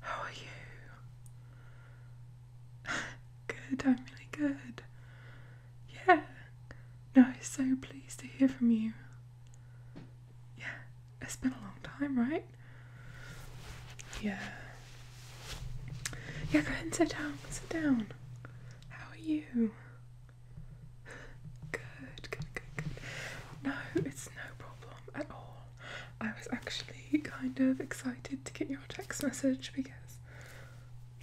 How are you? good, I'm really good. Yeah. No, I'm so pleased to hear from you. Yeah, it's been a long time, right? Yeah. Yeah, go ahead and sit down. Sit down. How are you? good, good, good. No, it's no problem at all. I was actually kind of excited to get your text message because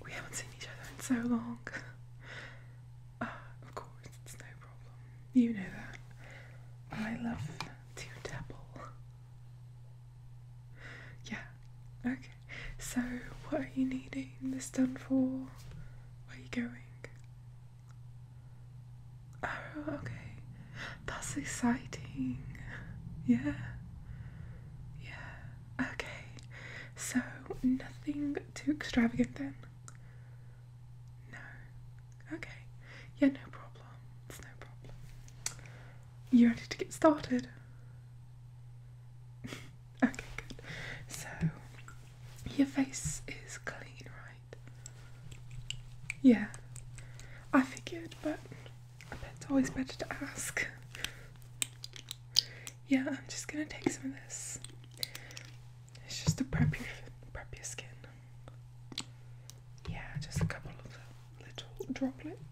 we haven't seen each other in so long. Uh, of course, it's no problem. You know that. I love to dabble. Yeah, okay. So, what are you needing this done for? Where are you going? Oh, okay. That's exciting. Yeah. Yeah. Okay. So, nothing too extravagant then? No. Okay. Yeah, no problem. It's no problem. You ready to get started? okay, good. So, your face is clean, right? Yeah, I figured, but it's always better to ask. Yeah, I'm just gonna take some of this. It's just to prep your, prep your skin. Yeah, just a couple of little droplets.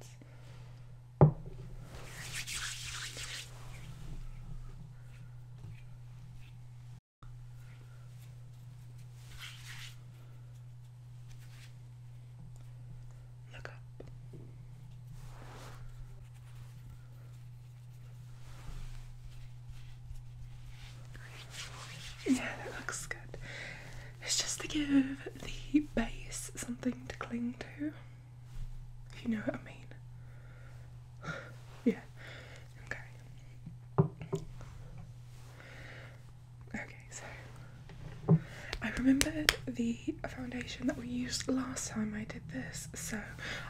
Yeah, that looks good. It's just to give the base something to cling to. If you know what I mean. yeah. Okay. Okay, so I remembered the foundation that we used last time I did this, so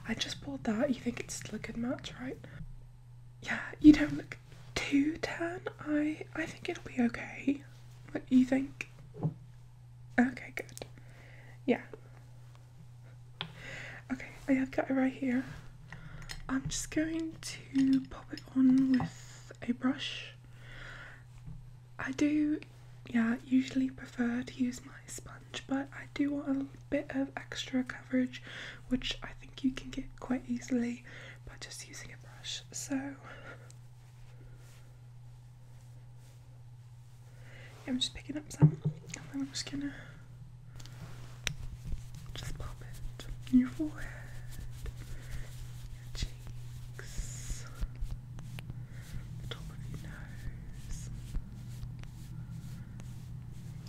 I just bought that. You think it's still a good match, right? Yeah, you don't look too tan. I I think it'll be okay. What do you think? Okay, good. Yeah. Okay, I have got it right here. I'm just going to pop it on with a brush. I do, yeah, usually prefer to use my sponge, but I do want a bit of extra coverage, which I think you can get quite easily by just using a brush. So, I'm just picking up some, and then I'm just gonna just pop it in your forehead, your cheeks, the top of your nose.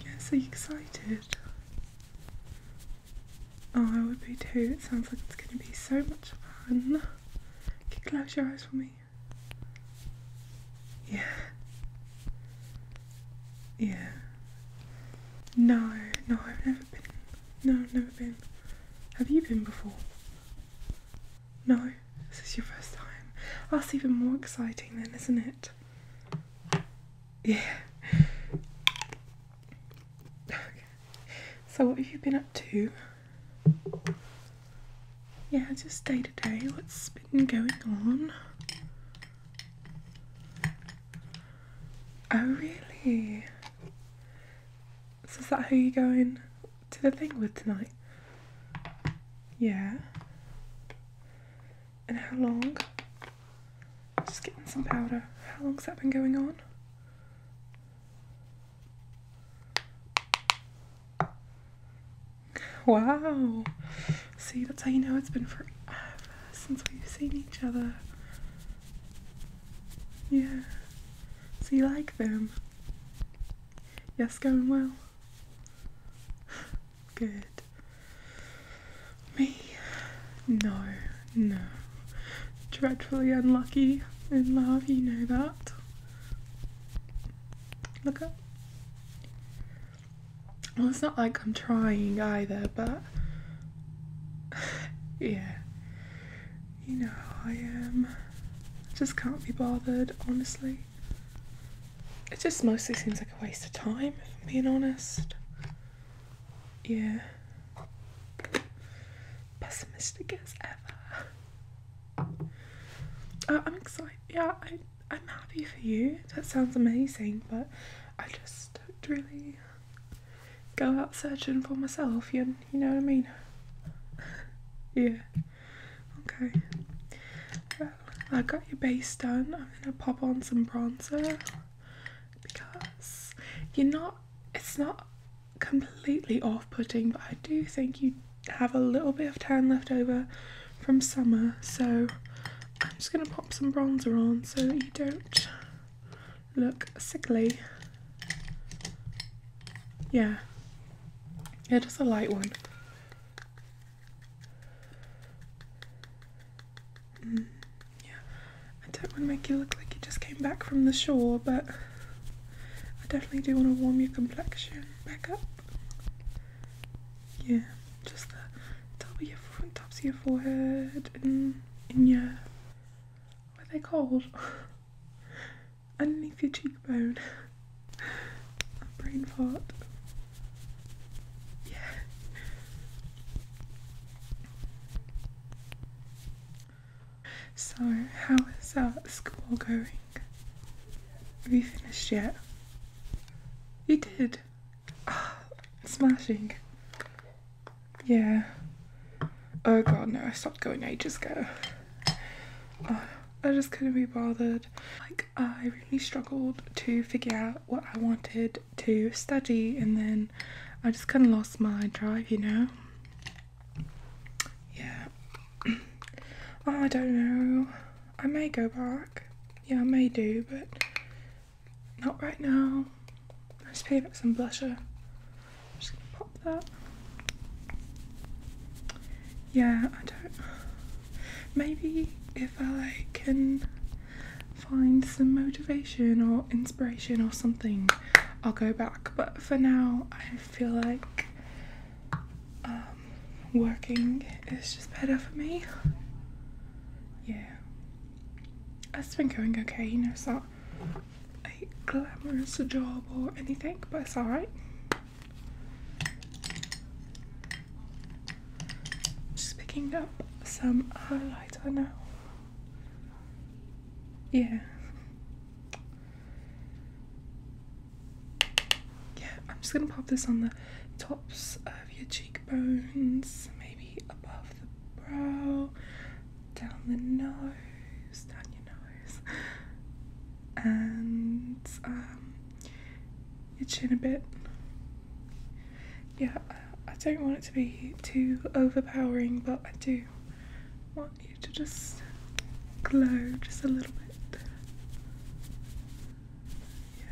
Yes, are you excited? Oh, I would be too. It sounds like it's going to be so much fun. Can you close your eyes for me? Yeah. Yeah. No, no, I've never been. No, I've never been. Have you been before? No, this is your first time. that's even more exciting then, isn't it? Yeah. Okay. So what have you been up to? Yeah, just day to day, what's been going on? Oh, really? So, is that who you're going to the thing with tonight? Yeah. And how long? Just getting some powder. How long's that been going on? Wow. See, that's how you know it's been forever since we've seen each other. Yeah. So you like them? Yes, going well? Good. Me? No, no. Dreadfully unlucky in love, you know that. Look up. Well, it's not like I'm trying either, but yeah, you know, I am just can't be bothered, honestly. It just mostly seems like a waste of time, if I'm being honest. Yeah. Pessimistic as ever. Uh, I'm excited. Yeah, I. I'm happy for you. That sounds amazing, but I just don't really go out searching for myself. You, you know what I mean? yeah. Okay. Well, I got your base done. I'm gonna pop on some bronzer because you're not. It's not completely off-putting, but I do think you have a little bit of tan left over from summer so I'm just going to pop some bronzer on so you don't look sickly yeah yeah just a light one mm, yeah I don't want to make you look like you just came back from the shore but I definitely do want to warm your complexion back up yeah, just the top of your of your forehead and in your what are they called? Underneath your cheekbone. brain part. Yeah. So, how is uh, school going? Have you finished yet? He did. smashing. Yeah. Oh god, no, I stopped going ages ago. Oh, I just couldn't be bothered. Like, I really struggled to figure out what I wanted to study, and then I just kind of lost my drive, you know? Yeah. I don't know. I may go back. Yeah, I may do, but not right now. I just pave up some blusher. I'm just gonna pop that. Yeah, I don't. Maybe if I can find some motivation or inspiration or something, I'll go back. But for now, I feel like um, working is just better for me. Yeah. It's been going okay, you know, it's not a glamorous job or anything, but it's alright. Just picking up some highlighter now. Yeah yeah, I'm just gonna pop this on the tops of your cheekbones, maybe above the brow, down the nose, down your nose, and um, your chin a bit. Yeah, I, I don't want it to be too overpowering, but I do want you to just glow just a little bit. Yeah.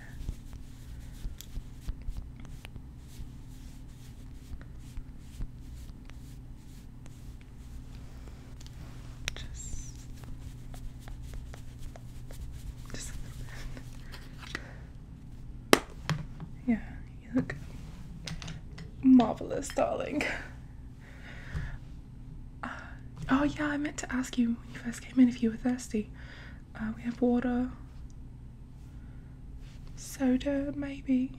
Just, just Yeah, you look marvelous, darling oh yeah, I meant to ask you when you first came in if you were thirsty. Uh, we have water, soda maybe,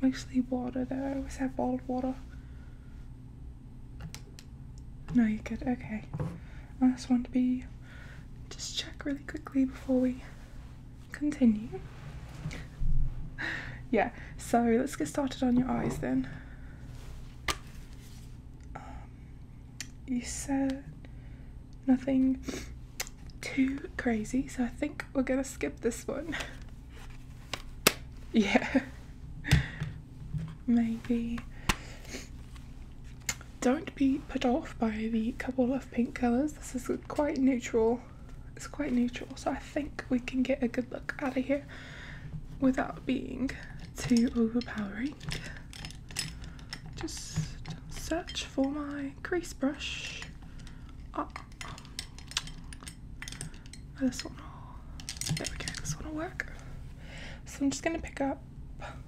mostly water though. I always have bottled water. No, you could. Okay. I just want to be just check really quickly before we continue. yeah. So let's get started on your eyes then. Um, you said nothing too crazy, so I think we're gonna skip this one. yeah. Maybe. Don't be put off by the couple of pink colours. This is quite neutral. It's quite neutral, so I think we can get a good look out of here without being too overpowering. Just search for my crease brush. Ah. Oh. This one, this one will work. So I'm just going to pick up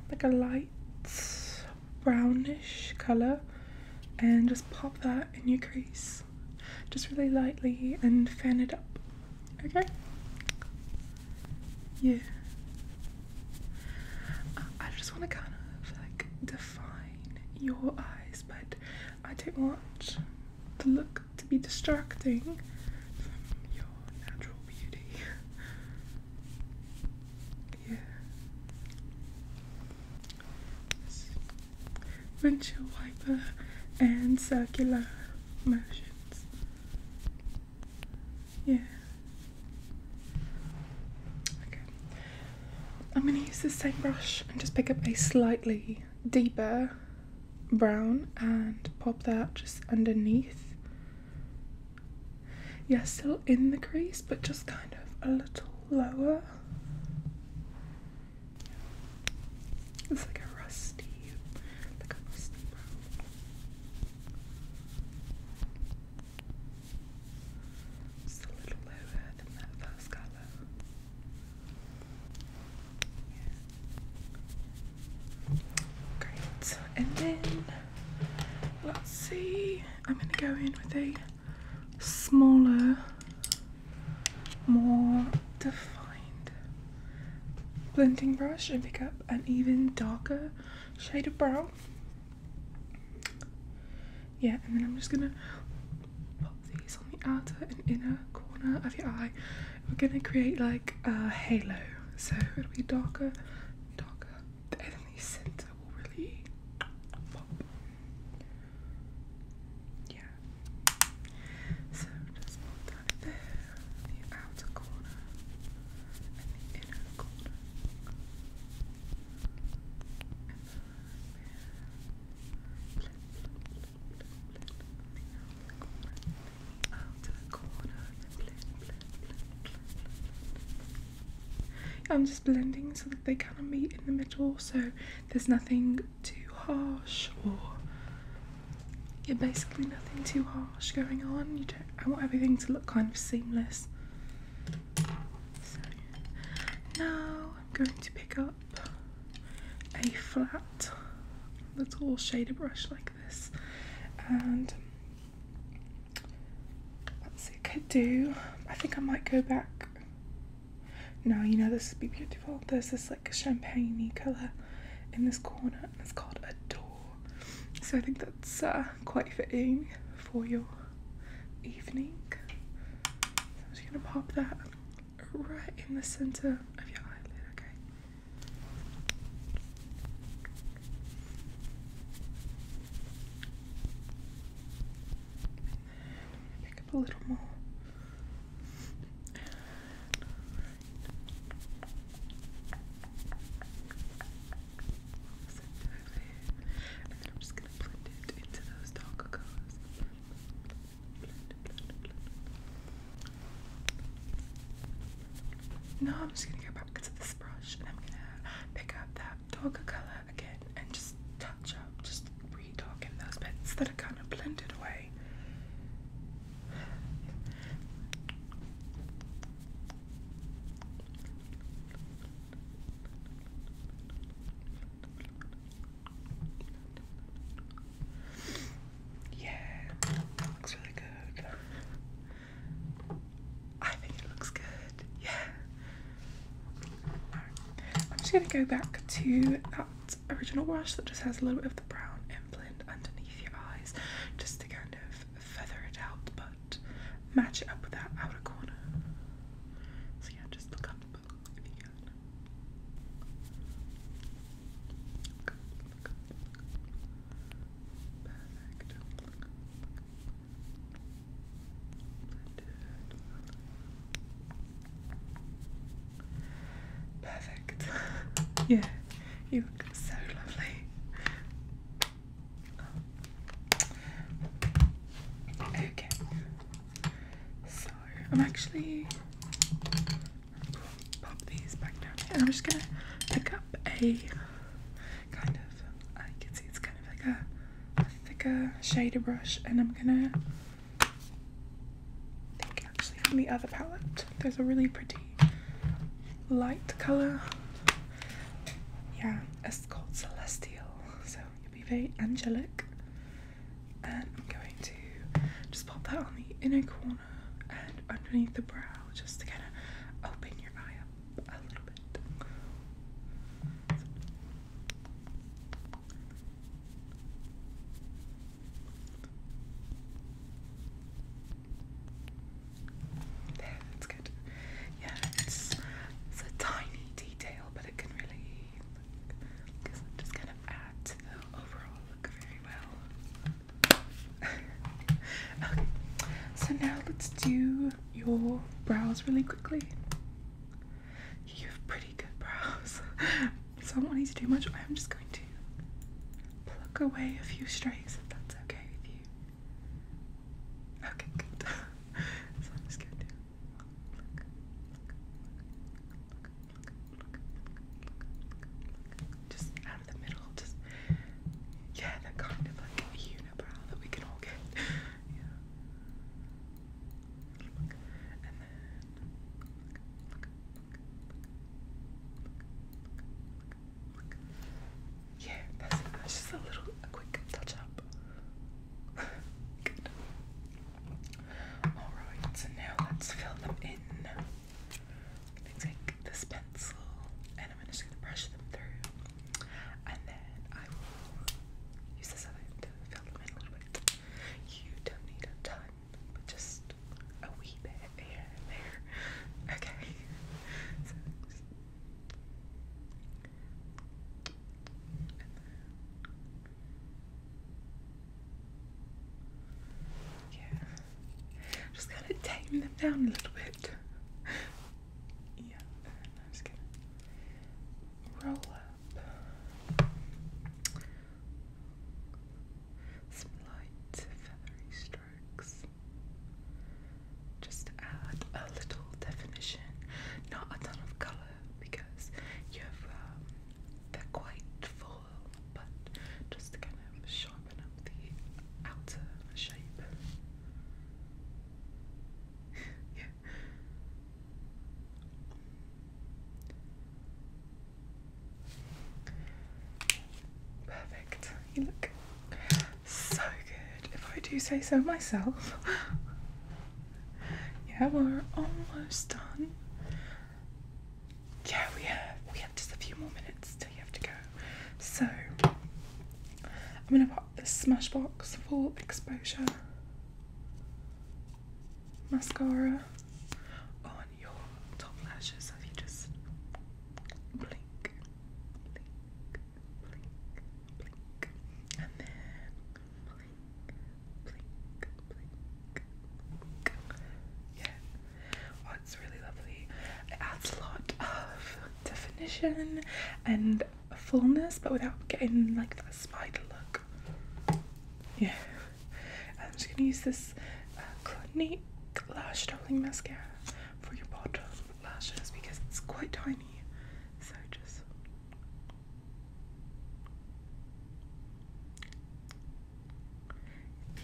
like a light brownish colour and just pop that in your crease just really lightly and fan it up. Okay? Yeah. Uh, I just want to kind of like define your eyes, but I don't want the look to be distracting from your natural beauty. yeah windshield wiper, and circular motions. Yeah. Okay. I'm going to use the same brush and just pick up a slightly deeper brown and pop that just underneath. Yeah, still in the crease, but just kind of a little lower. It's like a rusty, like a rusty brown. Just a little lower than that first colour. Yeah. Great, and then let's see. I'm gonna go in with a smaller more defined blending brush and pick up an even darker shade of brown. Yeah, and then I'm just gonna pop these on the outer and inner corner of your eye. We're gonna create like a halo, so it'll be darker, darker, and then the center will really pop. Yeah. So just go down there, the outer corner and the inner corner. I'm just blending so that they kind of meet in the middle, so there's nothing too harsh or you're basically nothing too harsh going on. You don't, I want everything to look kind of seamless. So now I'm going to pick up a flat little shader brush like this, and see what it could do. I think I might go back no, you know this would be beautiful. There's this like champagne colour in this corner and it's called Adore. So I think that's uh, quite fitting for your evening. So I'm just gonna pop that right in the centre of your eyelid, okay? pick up a little more I'm just gonna No, I'm just gonna go back to this brush and I'm gonna pick up that darker color again and just touch up, just re those bits that are kind of blended away. Yeah, looks really good. I think it looks good. Yeah. I'm just going to go back to that original wash that just has a little bit of the brown and blend underneath your eyes just to kind of feather it out but match it up with that outer corner. So yeah, just look up if you can. Perfect. Perfect. yeah, you look so lovely. Okay. So I'm actually pop these back down here. I'm just gonna pick up a kind of I can see it's kind of like a, a thicker shader brush and I'm gonna think actually from the other palette. There's a really pretty light colour. Yeah, it's called Celestial, so you'll be very angelic. And I'm going to just pop that on the inner corner and underneath the brow just to kind of open your eye up a little bit. There, that's good. Yeah, it's it's a tiny detail, but it can really just kind of add the overall look very well. okay, so now let's do your brows really quickly. You have pretty good brows. so I won't need to do much. I'm just going to pluck away a few strays if that's okay with you. Okay, good. so I'm just going to just out of the middle. Just yeah, that kind of like unibrow that we can all get. Yeah. Yeah, that's just a little quick touch up. Good. Alright, so now let's fill them in. take this pencil and I'm just gonna brush them through. And I will use this other to fill them in a little bit. You don't need a ton, but just a wee bit there. Okay. Yeah. Just kind of tame them down a little bit. Yeah, I'm just gonna roll up. Some light feathery strokes. Just to add a little definition, not a ton of colour because you have um, they're quite full, but just to kind of sharpen up the outer shape. yeah, Perfect. You look so good, if I do say so myself. yeah, we're almost done. Yeah, we have we have just a few more minutes till you have to go. So I'm gonna pop this Smashbox for exposure mascara on your top lashes. So you just blink, blink, blink, blink, and then blink, blink, blink, blink. Yeah. Oh, it's really lovely. It adds a lot of definition and fullness but without getting like that spider look. Yeah. I'm just gonna use this uh, Clinique Lash Doubling Mascara for your bottom lashes because it's quite tiny. So just.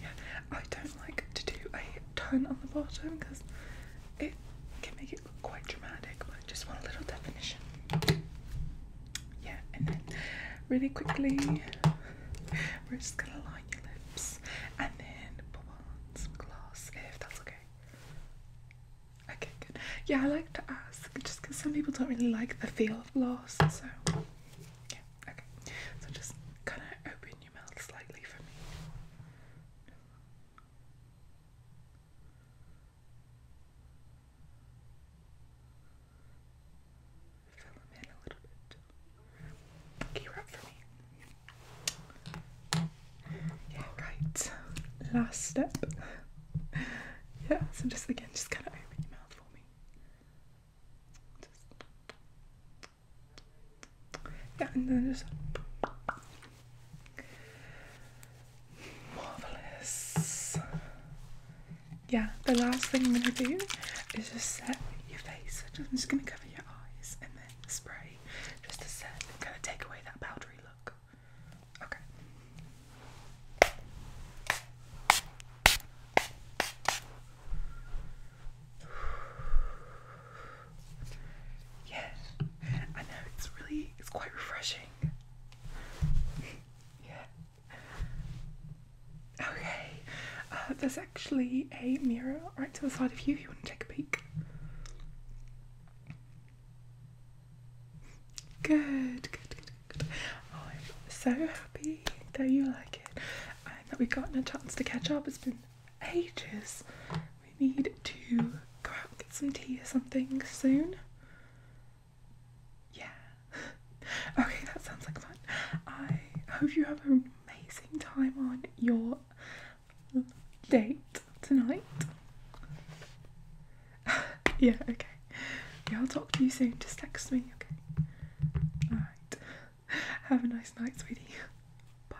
Yeah, I don't like to do a ton on the bottom because it can make it look quite dramatic, but just want a little definition. Yeah, and then really quickly, we're just gonna line your lips and then put on some gloss if that's okay. Okay, good. Yeah, I like to ask just because some people don't really like the feel of gloss, so yeah, okay. So just kind of open your mouth slightly for me. Yeah, right. Last step. yeah, so just again, just kind of open your mouth for me. Yeah, and then just. Marvelous. Yeah, the last thing I'm gonna do is just set your face. I'm just gonna cover your eyes and then spray just to set kind of take away that powdery look. Okay. Yeah, I know it's really it's quite refreshing. yeah. Okay. Uh, there's actually a mirror right to the side of you if you want to take a peek. Good, good, good, good. I'm so happy that you like it and that we have gotten a chance to catch up. It's been ages we need to go out and get some tea or something soon. Yeah. okay, that sounds like fun. I hope you have an amazing time on your date tonight. yeah, okay. Yeah, I'll talk to you soon. Just text me, okay? Alright. Have a nice night, sweetie. Bye.